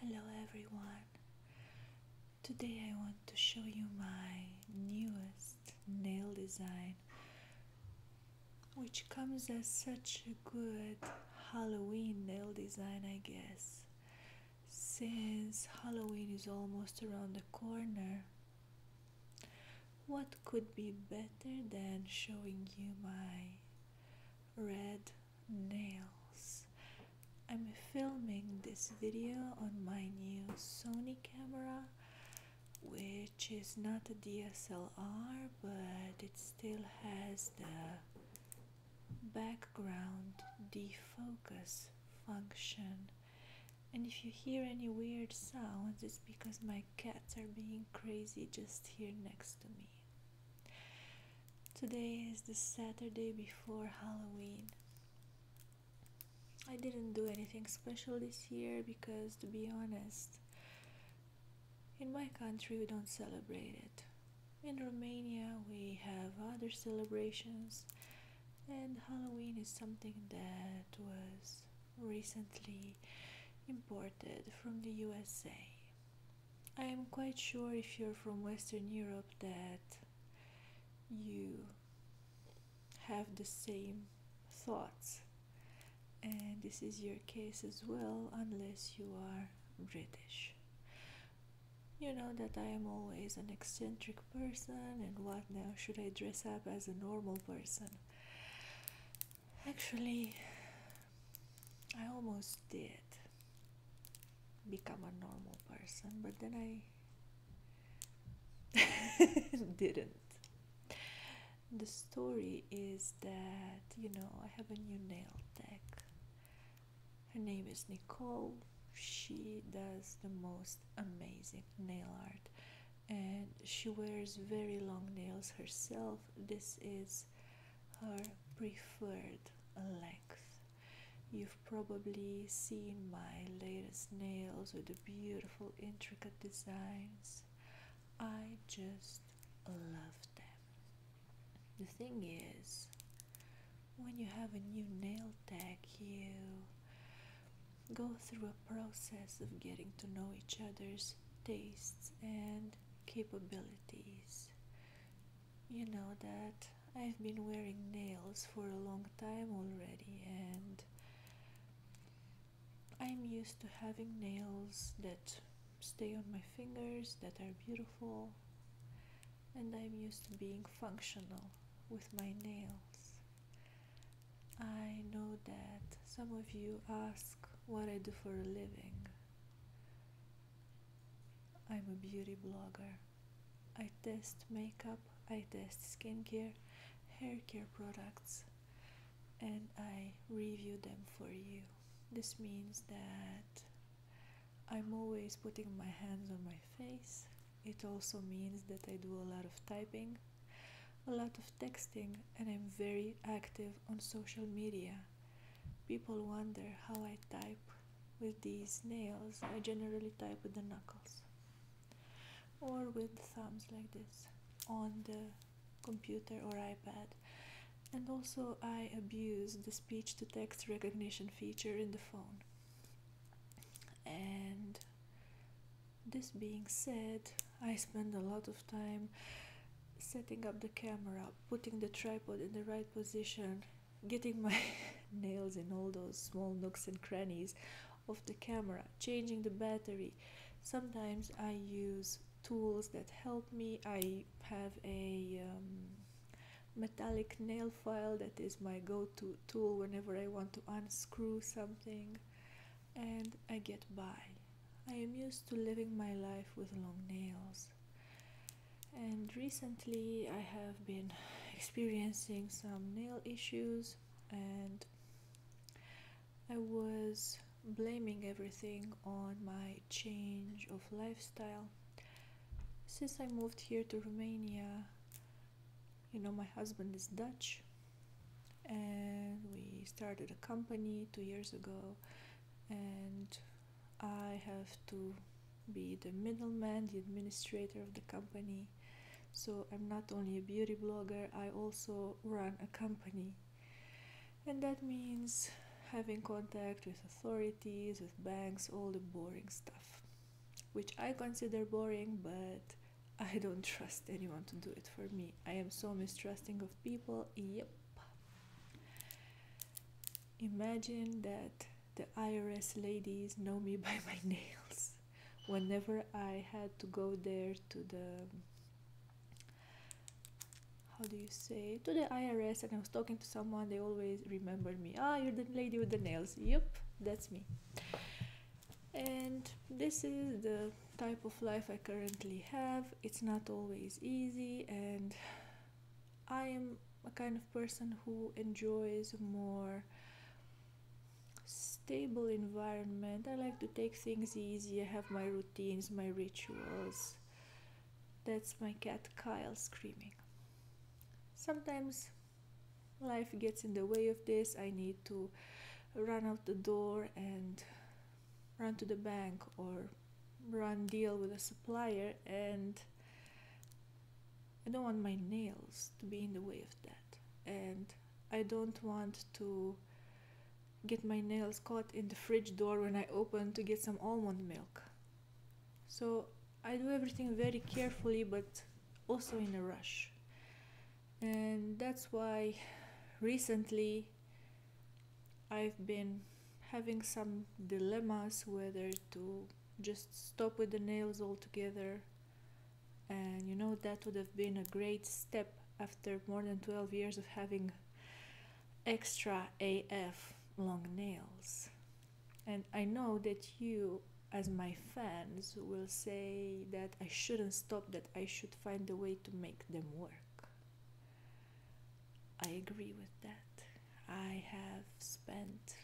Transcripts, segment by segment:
Hello everyone. Today I want to show you my newest nail design which comes as such a good Halloween nail design, I guess. Since Halloween is almost around the corner, what could be better than showing you my red nails. I'm filming this video on my new Sony camera, which is not a DSLR, but it still has the background defocus function. And if you hear any weird sounds, it's because my cats are being crazy just here next to me. Today is the Saturday before Halloween. I didn't do anything special this year because, to be honest, in my country we don't celebrate it. In Romania we have other celebrations, and Halloween is something that was recently imported from the USA. I am quite sure if you're from Western Europe that you have the same thoughts, and this is your case as well, unless you are British. You know that I am always an eccentric person, and what now? Should I dress up as a normal person? Actually, I almost did become a normal person, but then I didn't. The story is that, you know, I have a new nail tech. Her name is Nicole. She does the most amazing nail art and she wears very long nails herself. This is her preferred length. You've probably seen my latest nails with the beautiful intricate designs. I just love them. The thing is, when you have a new nail tech, you go through a process of getting to know each other's tastes and capabilities. You know that I've been wearing nails for a long time already, and I'm used to having nails that stay on my fingers, that are beautiful, and I'm used to being functional with my nails. I know that some of you ask what I do for a living. I'm a beauty blogger. I test makeup, I test skincare, hair care products, and I review them for you. This means that I'm always putting my hands on my face. It also means that I do a lot of typing a lot of texting, and I'm very active on social media. People wonder how I type with these nails. I generally type with the knuckles or with thumbs like this on the computer or iPad. And also, I abuse the speech to text recognition feature in the phone. And this being said, I spend a lot of time setting up the camera, putting the tripod in the right position, getting my nails in all those small nooks and crannies of the camera, changing the battery. Sometimes I use tools that help me. I have a um, metallic nail file that is my go to tool whenever I want to unscrew something and I get by. I am used to living my life with long nails. And recently I have been experiencing some nail issues and I was blaming everything on my change of lifestyle. Since I moved here to Romania, you know, my husband is Dutch and we started a company two years ago and I have to be the middleman, the administrator of the company. So I'm not only a beauty blogger, I also run a company. And that means having contact with authorities, with banks, all the boring stuff, which I consider boring, but I don't trust anyone to do it for me. I am so mistrusting of people. Yep. Imagine that the IRS ladies know me by my nails. Whenever I had to go there to the how do you say to the IRS and I was talking to someone they always remember me. Ah, you're the lady with the nails. Yep, that's me and this is the type of life I currently have it's not always easy and I am a kind of person who enjoys more stable environment I like to take things easy I have my routines my rituals that's my cat Kyle screaming sometimes life gets in the way of this i need to run out the door and run to the bank or run deal with a supplier and i don't want my nails to be in the way of that and i don't want to get my nails caught in the fridge door when i open to get some almond milk so i do everything very carefully but also in a rush and that's why recently I've been having some dilemmas whether to just stop with the nails altogether and you know that would have been a great step after more than 12 years of having extra AF long nails and I know that you as my fans will say that I shouldn't stop, that I should find a way to make them work. I agree with that. I have spent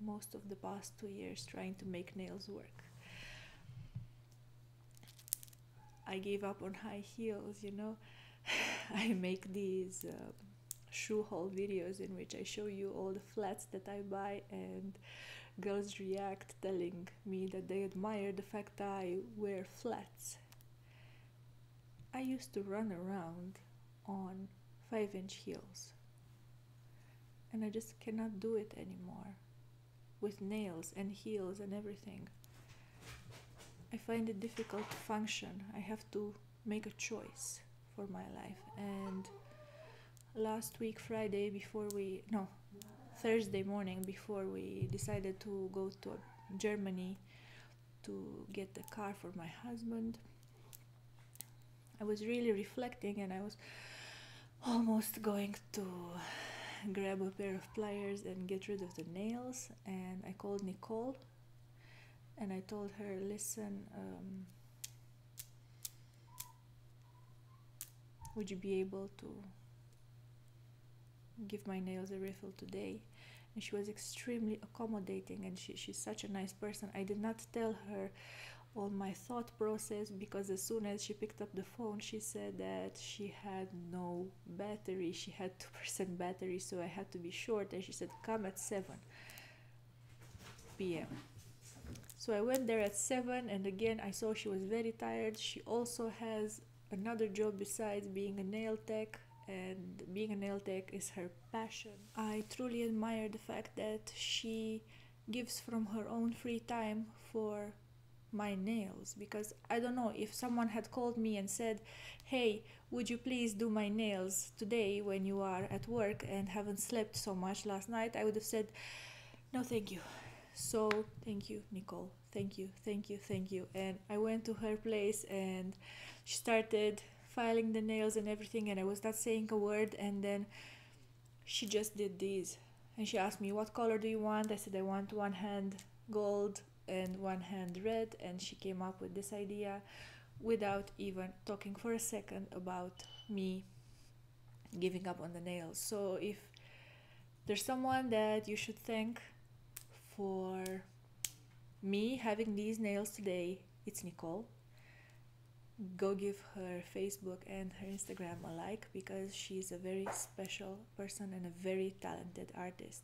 most of the past two years trying to make nails work. I gave up on high heels, you know. I make these um, shoe haul videos in which I show you all the flats that I buy and girls react telling me that they admire the fact I wear flats. I used to run around on 5 inch heels. And I just cannot do it anymore with nails and heels and everything. I find it difficult to function. I have to make a choice for my life. And last week, Friday, before we, no, Thursday morning, before we decided to go to Germany to get the car for my husband, I was really reflecting and I was almost going to grab a pair of pliers and get rid of the nails. And I called Nicole and I told her, listen, um, would you be able to give my nails a refill today? And she was extremely accommodating and she, she's such a nice person. I did not tell her all my thought process because as soon as she picked up the phone, she said that she had no battery. She had 2% battery, so I had to be short. And she said, Come at 7 p.m. So I went there at 7 and again I saw she was very tired. She also has another job besides being a nail tech and being a nail tech is her passion. I truly admire the fact that she gives from her own free time for my nails because I don't know if someone had called me and said, "Hey, would you please do my nails?" today when you are at work and haven't slept so much last night, I would have said, no, thank you. So thank you, Nicole. Thank you, thank you, thank you. And I went to her place and she started filing the nails and everything, and I was not saying a word. And then she just did these. And she asked me, What color do you want? I said, I want one hand gold and one hand red. And she came up with this idea without even talking for a second about me giving up on the nails. So if there's someone that you should thank for me having these nails today, it's Nicole. Go give her Facebook and her Instagram a like because she's a very special person and a very talented artist.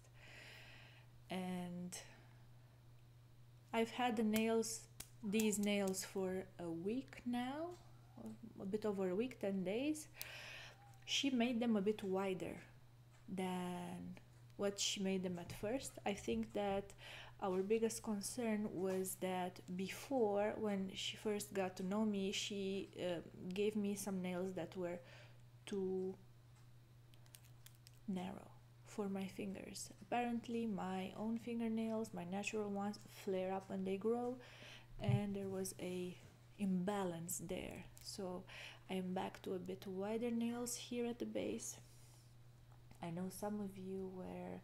And I've had the nails, these nails for a week now, a bit over a week, 10 days. She made them a bit wider than what she made them at first. I think that our biggest concern was that before, when she first got to know me, she uh, gave me some nails that were too narrow for my fingers. Apparently, my own fingernails, my natural ones, flare up when they grow, and there was a imbalance there. So I'm back to a bit wider nails here at the base. I know some of you were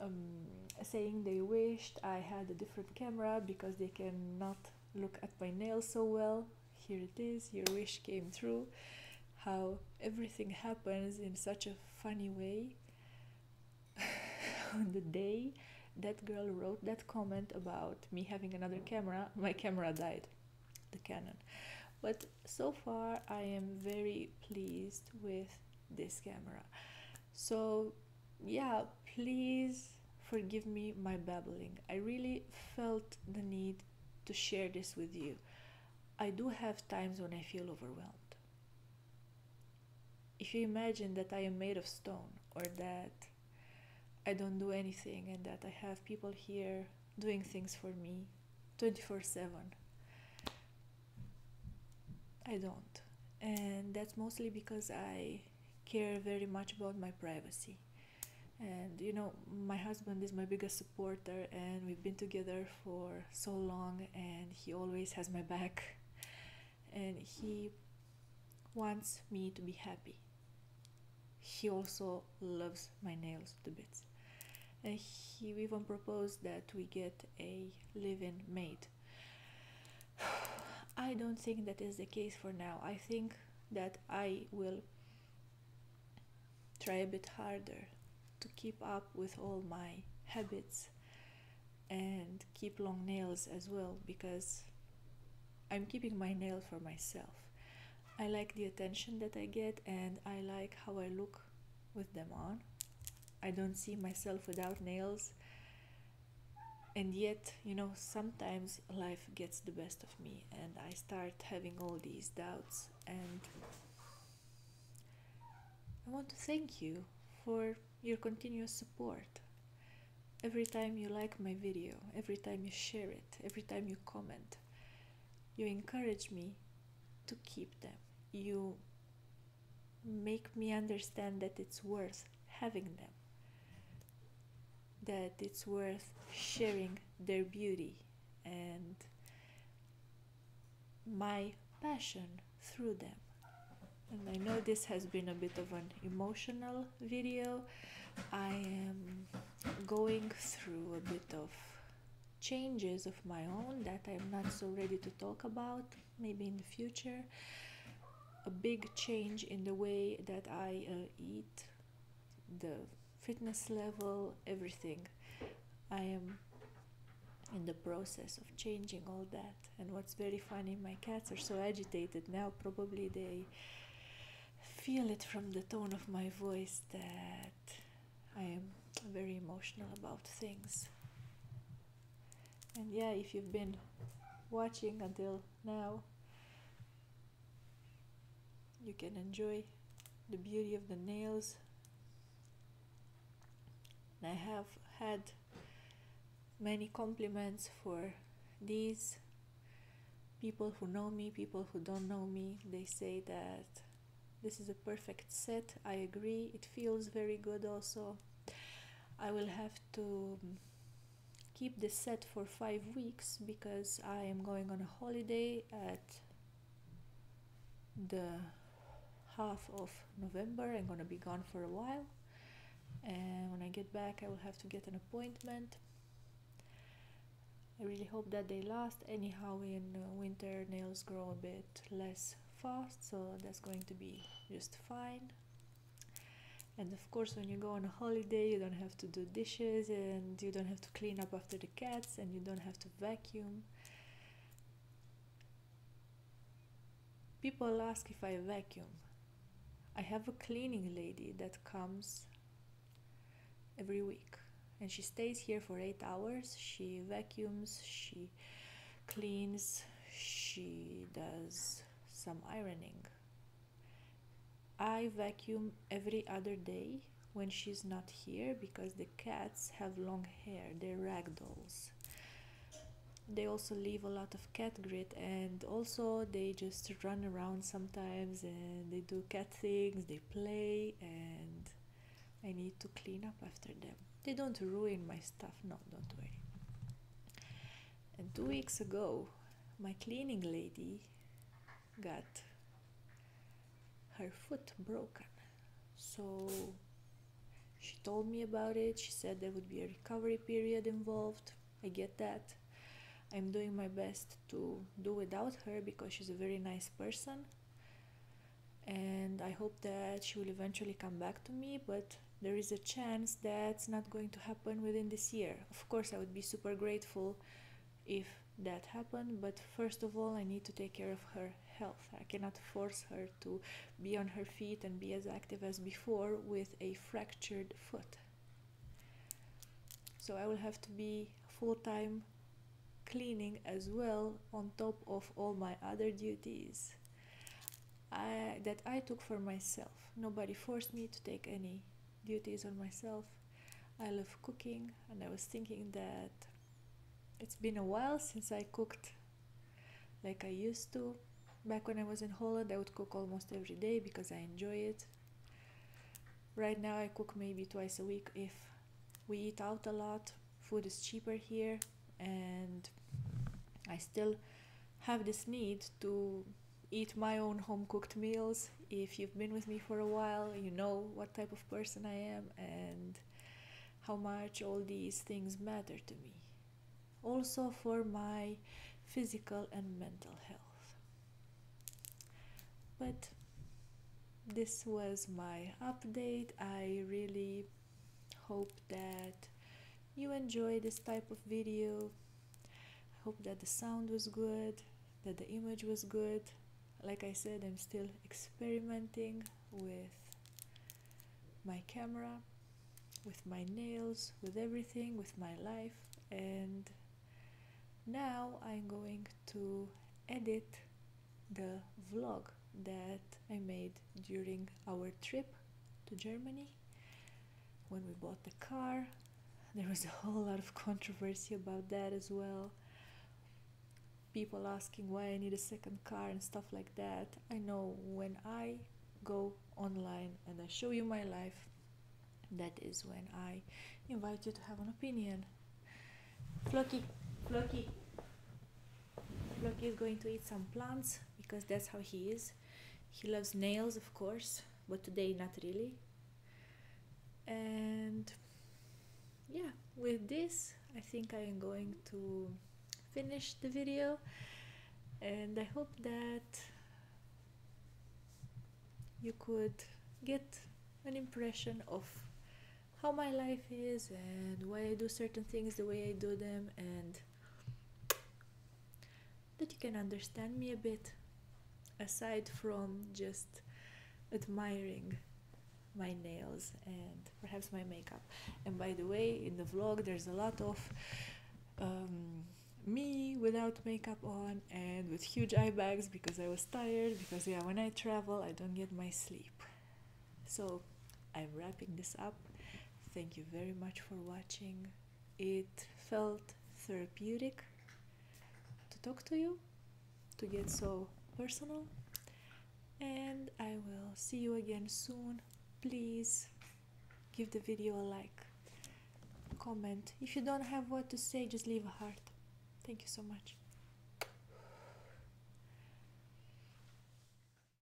um, saying they wished I had a different camera because they cannot look at my nails so well. Here it is, your wish came true how everything happens in such a funny way. On the day that girl wrote that comment about me having another camera, my camera died, the Canon. But so far, I am very pleased with this camera. So, yeah, please forgive me my babbling. I really felt the need to share this with you. I do have times when I feel overwhelmed. If you imagine that I am made of stone or that I don't do anything and that I have people here doing things for me 24 7, I don't. And that's mostly because I care very much about my privacy and you know my husband is my biggest supporter and we've been together for so long and he always has my back and he wants me to be happy he also loves my nails to bits and he even proposed that we get a living in i don't think that is the case for now i think that i will try a bit harder to keep up with all my habits and keep long nails as well because I'm keeping my nail for myself. I like the attention that I get and I like how I look with them on. I don't see myself without nails. And yet, you know, sometimes life gets the best of me and I start having all these doubts and I want to thank you for your continuous support. Every time you like my video, every time you share it, every time you comment, you encourage me to keep them. You make me understand that it's worth having them that it's worth sharing their beauty and my passion through them. And I know this has been a bit of an emotional video. I am going through a bit of changes of my own that I'm not so ready to talk about, maybe in the future. A big change in the way that I uh, eat, the fitness level, everything. I am in the process of changing all that. And what's very funny, my cats are so agitated now, probably they feel it from the tone of my voice that I am very emotional about things. And yeah, if you've been watching until now, you can enjoy the beauty of the nails I have had many compliments for these people who know me people who don't know me they say that this is a perfect set I agree it feels very good also I will have to keep the set for five weeks because I am going on a holiday at the half of November. I'm gonna be gone for a while, and when I get back, I will have to get an appointment. I really hope that they last. Anyhow, in uh, winter, nails grow a bit less fast, so that's going to be just fine. And of course, when you go on a holiday, you don't have to do dishes and you don't have to clean up after the cats and you don't have to vacuum. People ask if I vacuum. I have a cleaning lady that comes every week and she stays here for eight hours. She vacuums, she cleans, she does some ironing. I vacuum every other day when she's not here because the cats have long hair, they're ragdolls. They also leave a lot of cat grit and also they just run around sometimes and they do cat things, they play and I need to clean up after them. They don't ruin my stuff, no, don't worry. two weeks ago, my cleaning lady got her foot broken. So she told me about it. She said there would be a recovery period involved. I get that. I'm doing my best to do without her because she's a very nice person. And I hope that she will eventually come back to me, but there is a chance that's not going to happen within this year. Of course, I would be super grateful if that happened, but first of all, I need to take care of her health. I cannot force her to be on her feet and be as active as before with a fractured foot. So I will have to be full time cleaning as well on top of all my other duties. I, that I took for myself. Nobody forced me to take any duties on myself. I love cooking, and I was thinking that it's been a while since I cooked like I used to. Back when I was in Holland, I would cook almost every day because I enjoy it. Right now, I cook maybe twice a week if we eat out a lot. Food is cheaper here, and I still have this need to eat my own home cooked meals. If you've been with me for a while, you know what type of person I am and how much all these things matter to me. Also, for my physical and mental health. But this was my update. I really hope that you enjoy this type of video I hope that the sound was good that the image was good like I said I'm still experimenting with my camera with my nails with everything with my life and now I'm going to edit the vlog that I made during our trip to Germany when we bought the car. There was a whole lot of controversy about that as well. People asking why I need a second car and stuff like that. I know when I go online and I show you my life, that is when I invite you to have an opinion. Floki, Floki, Floki is going to eat some plants because that's how he is. He loves nails, of course, but today not really. And yeah, with this, I think I am going to finish the video. And I hope that you could get an impression of how my life is and why I do certain things the way I do them and that you can understand me a bit aside from just admiring my nails and perhaps my makeup. And by the way, in the vlog, there's a lot of um, me without makeup on and with huge eye bags because I was tired. Because, yeah, when I travel, I don't get my sleep. So I'm wrapping this up. Thank you very much for watching. It felt therapeutic to talk to you, to get so personal, and I will see you again soon. Please give the video a like, comment. If you don't have what to say, just leave a heart. Thank you so much.